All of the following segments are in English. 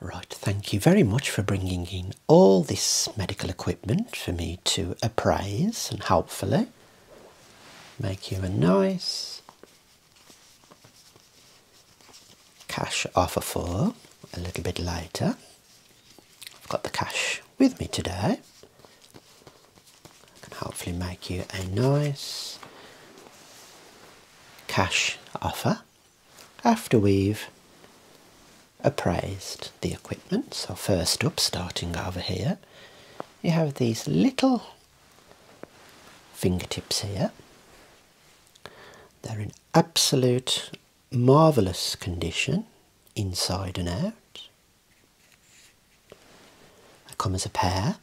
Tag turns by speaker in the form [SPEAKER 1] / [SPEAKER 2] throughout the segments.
[SPEAKER 1] Right, thank you very much for bringing in all this medical equipment for me to appraise and hopefully make you a nice cash offer for a little bit later. I've got the cash with me today. and hopefully make you a nice cash offer after we've appraised the equipment. So first up, starting over here, you have these little fingertips here. They're in absolute marvellous condition inside and out. They come as a pair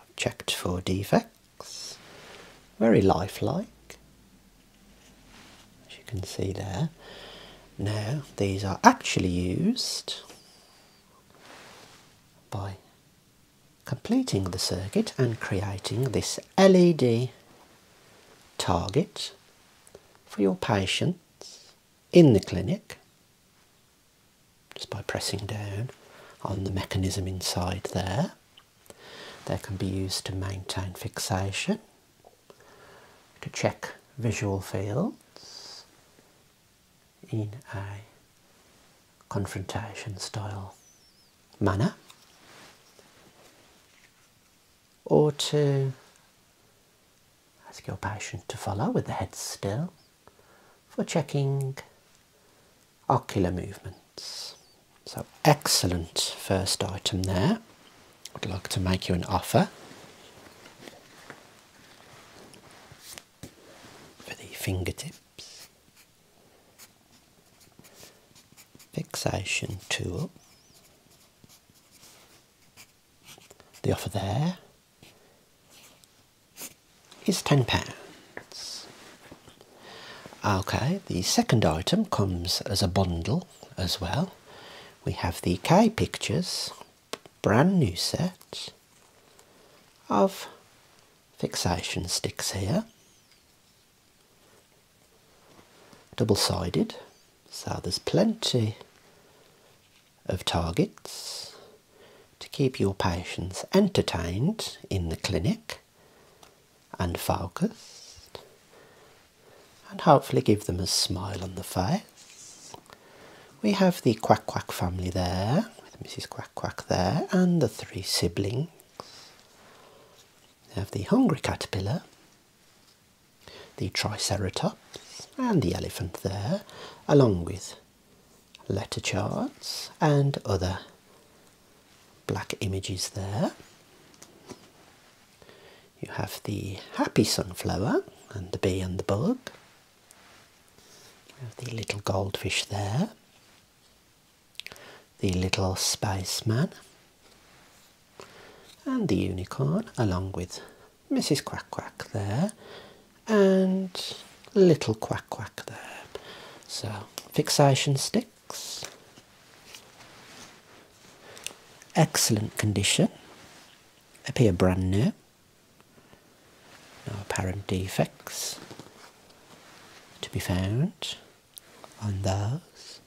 [SPEAKER 1] I've checked for defects. Very lifelike, as you can see there. Now, these are actually used by completing the circuit and creating this LED target for your patients in the clinic just by pressing down on the mechanism inside there. They can be used to maintain fixation, to check visual fields in a confrontation style manner, or to ask your patient to follow with the head still for checking ocular movements. So, excellent first item there. I'd like to make you an offer for the fingertips. Fixation tool. The offer there is £10. Okay, the second item comes as a bundle as well. We have the K Pictures brand new set of fixation sticks here. Double-sided, so there's plenty of targets to keep your patients entertained in the clinic and focused and hopefully give them a smile on the face. We have the Quack Quack family there, with Mrs. Quack Quack there, and the three siblings. We have the hungry caterpillar, the triceratops, and the elephant there, along with letter charts and other black images there. You have the happy sunflower and the bee and the bug. You have the little goldfish there. The little spaceman and the unicorn along with Mrs Quack Quack there and a little quack quack there. So fixation sticks. Excellent condition. Appear brand new. No apparent defects to be found on those.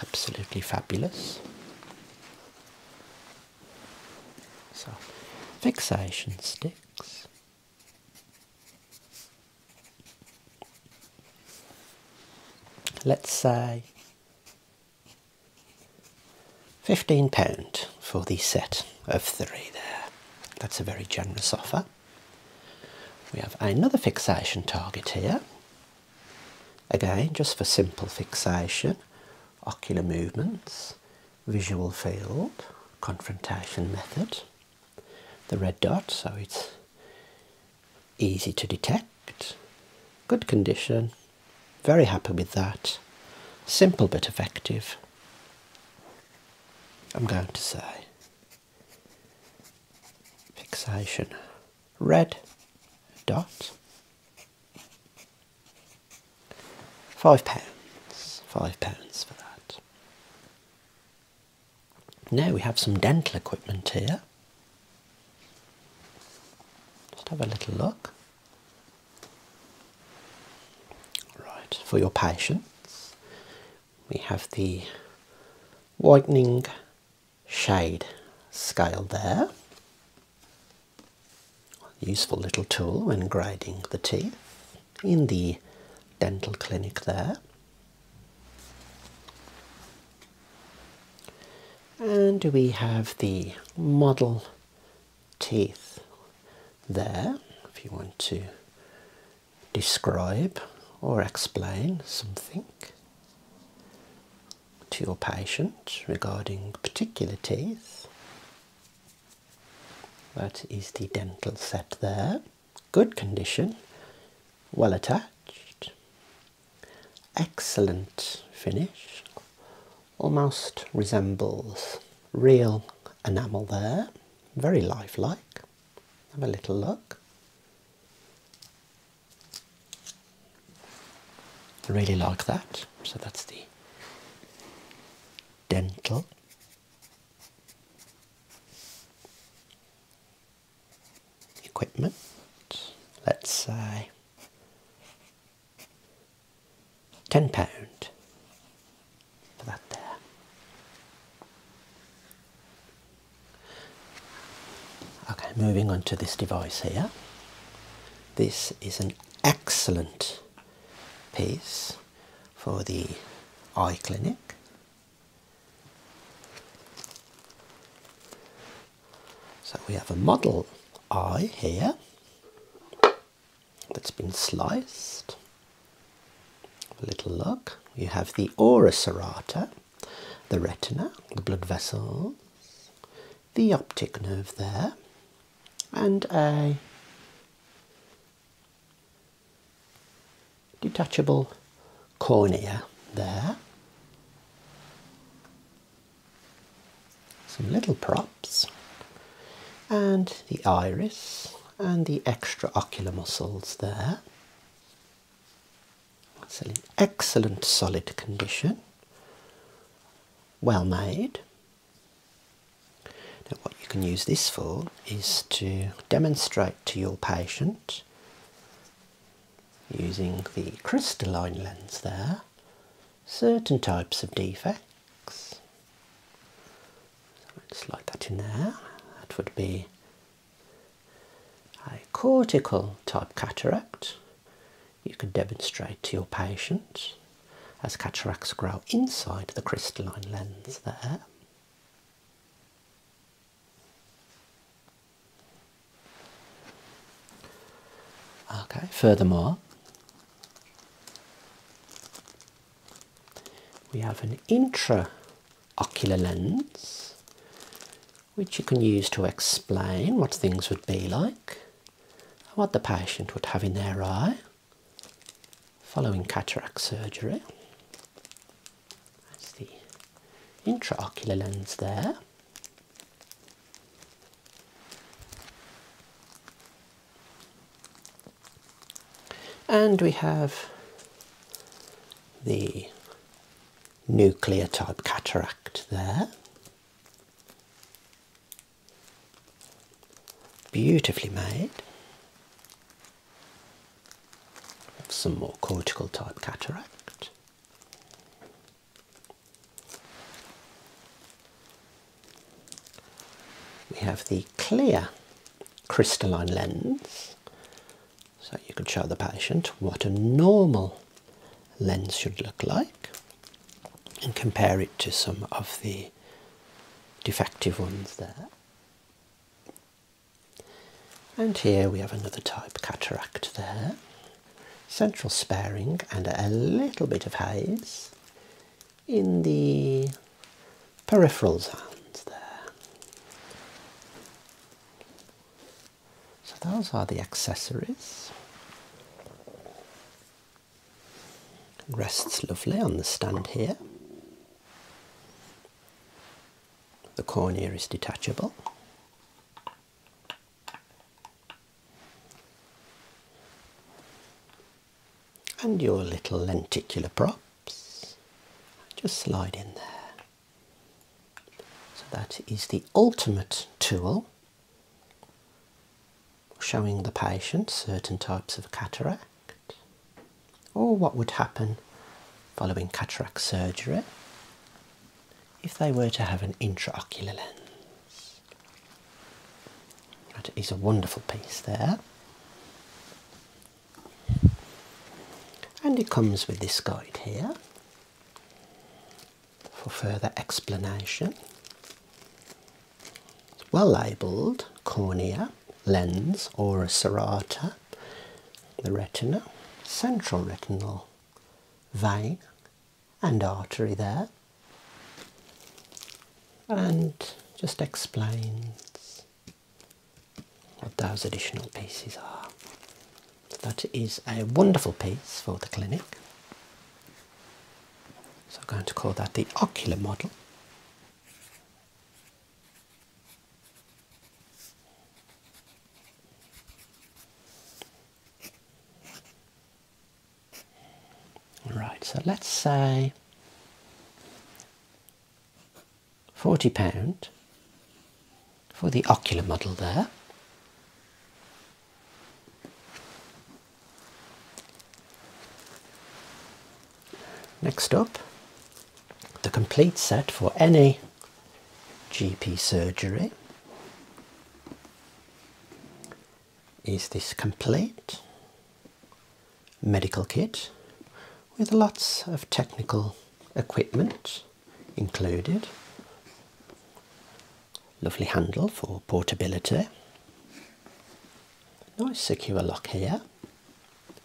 [SPEAKER 1] Absolutely fabulous. So, fixation sticks. Let's say £15 for the set of three there. That's a very generous offer. We have another fixation target here. Again, just for simple fixation, ocular movements, visual field, confrontation method, the red dot, so it's easy to detect, good condition, very happy with that, simple but effective. I'm going to say fixation red dot Five pounds, five pounds for that. Now we have some dental equipment here. Just have a little look. Right, for your patients, we have the whitening shade scale there. Useful little tool when grinding the teeth in the dental clinic there. And we have the model teeth there if you want to describe or explain something to your patient regarding particular teeth. That is the dental set there. Good condition, well attached, excellent finish, almost resembles real enamel there, very lifelike. Have a little look. I really like that. So that's the dental. Equipment, let's say ten pound for that there. Okay, moving on to this device here. This is an excellent piece for the eye clinic. So we have a model eye here that's been sliced. A little look. You have the ora serrata, the retina, the blood vessels the optic nerve there and a detachable cornea there. Some little props and the iris and the extraocular muscles there. It's in excellent solid condition, well made. Now, what you can use this for is to demonstrate to your patient using the crystalline lens there certain types of defects. So, slide that in there. That would be a cortical type cataract you can demonstrate to your patient as cataracts grow inside the crystalline lens there. Okay, furthermore, we have an intraocular lens which you can use to explain what things would be like, what the patient would have in their eye following cataract surgery. That's the intraocular lens there. And we have the nuclear type cataract there. Beautifully made. Some more cortical type cataract. We have the clear crystalline lens so you could show the patient what a normal lens should look like and compare it to some of the defective ones there. And here we have another type cataract there. Central sparing and a little bit of haze in the peripheral zones there. So those are the accessories. Rests lovely on the stand here. The cornea is detachable. And your little lenticular props just slide in there. So that is the ultimate tool showing the patient certain types of cataract or what would happen following cataract surgery if they were to have an intraocular lens. That is a wonderful piece there. And it comes with this guide here for further explanation. well labelled cornea, lens, or a serrata, the retina, central retinal vein and artery there, and just explains what those additional pieces are. That is a wonderful piece for the clinic. So I'm going to call that the ocular model. All right. so let's say £40 for the ocular model there. Next up, the complete set for any GP surgery is this complete medical kit with lots of technical equipment included. Lovely handle for portability. Nice secure lock here.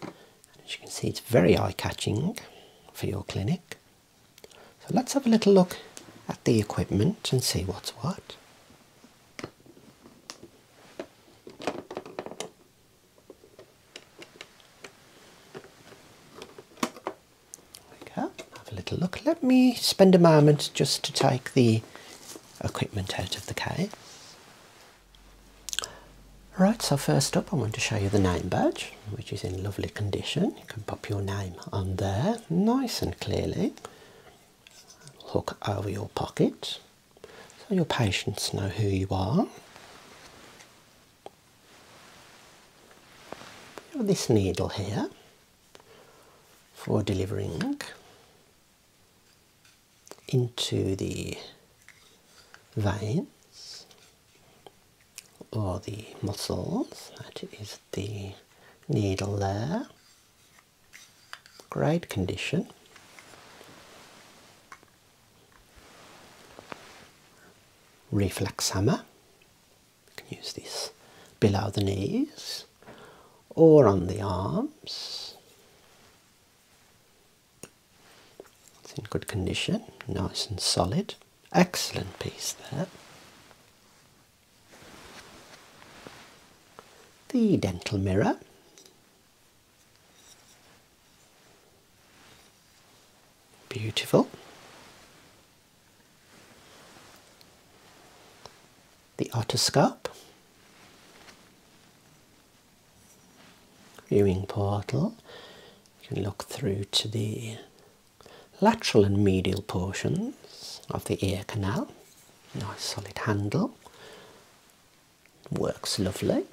[SPEAKER 1] As you can see, it's very eye catching for your clinic. So let's have a little look at the equipment and see what's what have a little look. Let me spend a moment just to take the equipment out of the case. Right, so first up I want to show you the name badge, which is in lovely condition. You can pop your name on there nice and clearly. Hook over your pocket so your patients know who you are this needle here for delivering into the veins or the muscles. That is the needle there. Great condition. Reflex hammer. You can use this below the knees or on the arms. It's in good condition, nice and solid. Excellent piece there. The dental mirror. Beautiful. The otoscope. Viewing portal. You can look through to the lateral and medial portions of the ear canal. Nice solid handle. Works lovely.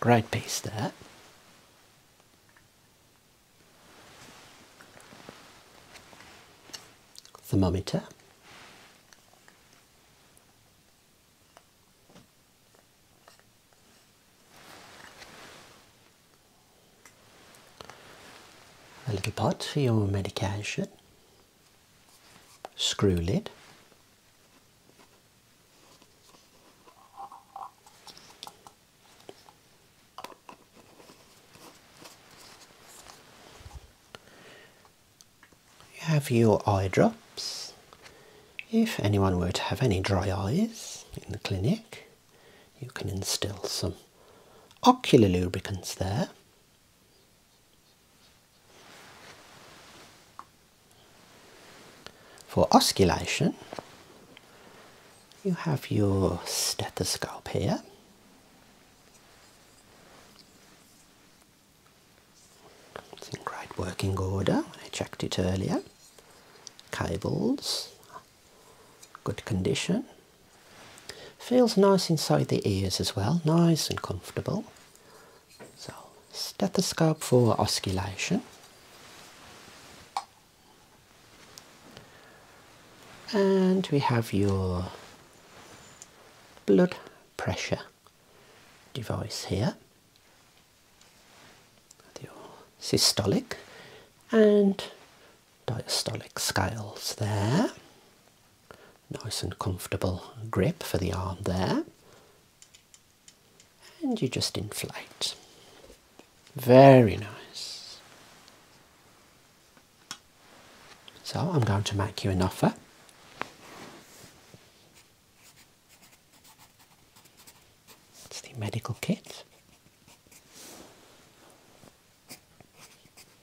[SPEAKER 1] Great piece that. Thermometer. A little pot for your medication. Screw lid. You have your eye drops. If anyone were to have any dry eyes in the clinic, you can instill some ocular lubricants there. For osculation, you have your stethoscope here. It's in great working order, I checked it earlier. Cables, good condition. Feels nice inside the ears as well, nice and comfortable. So, stethoscope for osculation. And we have your blood pressure device here. With your systolic and diastolic scales there. Nice and comfortable grip for the arm there. And you just inflate. Very nice. So I'm going to make you an offer. It's the medical kit.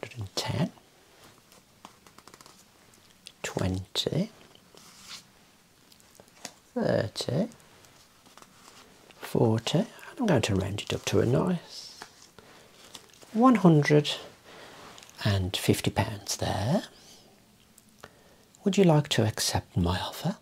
[SPEAKER 1] hundred and ten, twenty, thirty, forty. And I'm going to round it up to a nice one hundred and fifty pounds there. Would you like to accept my offer?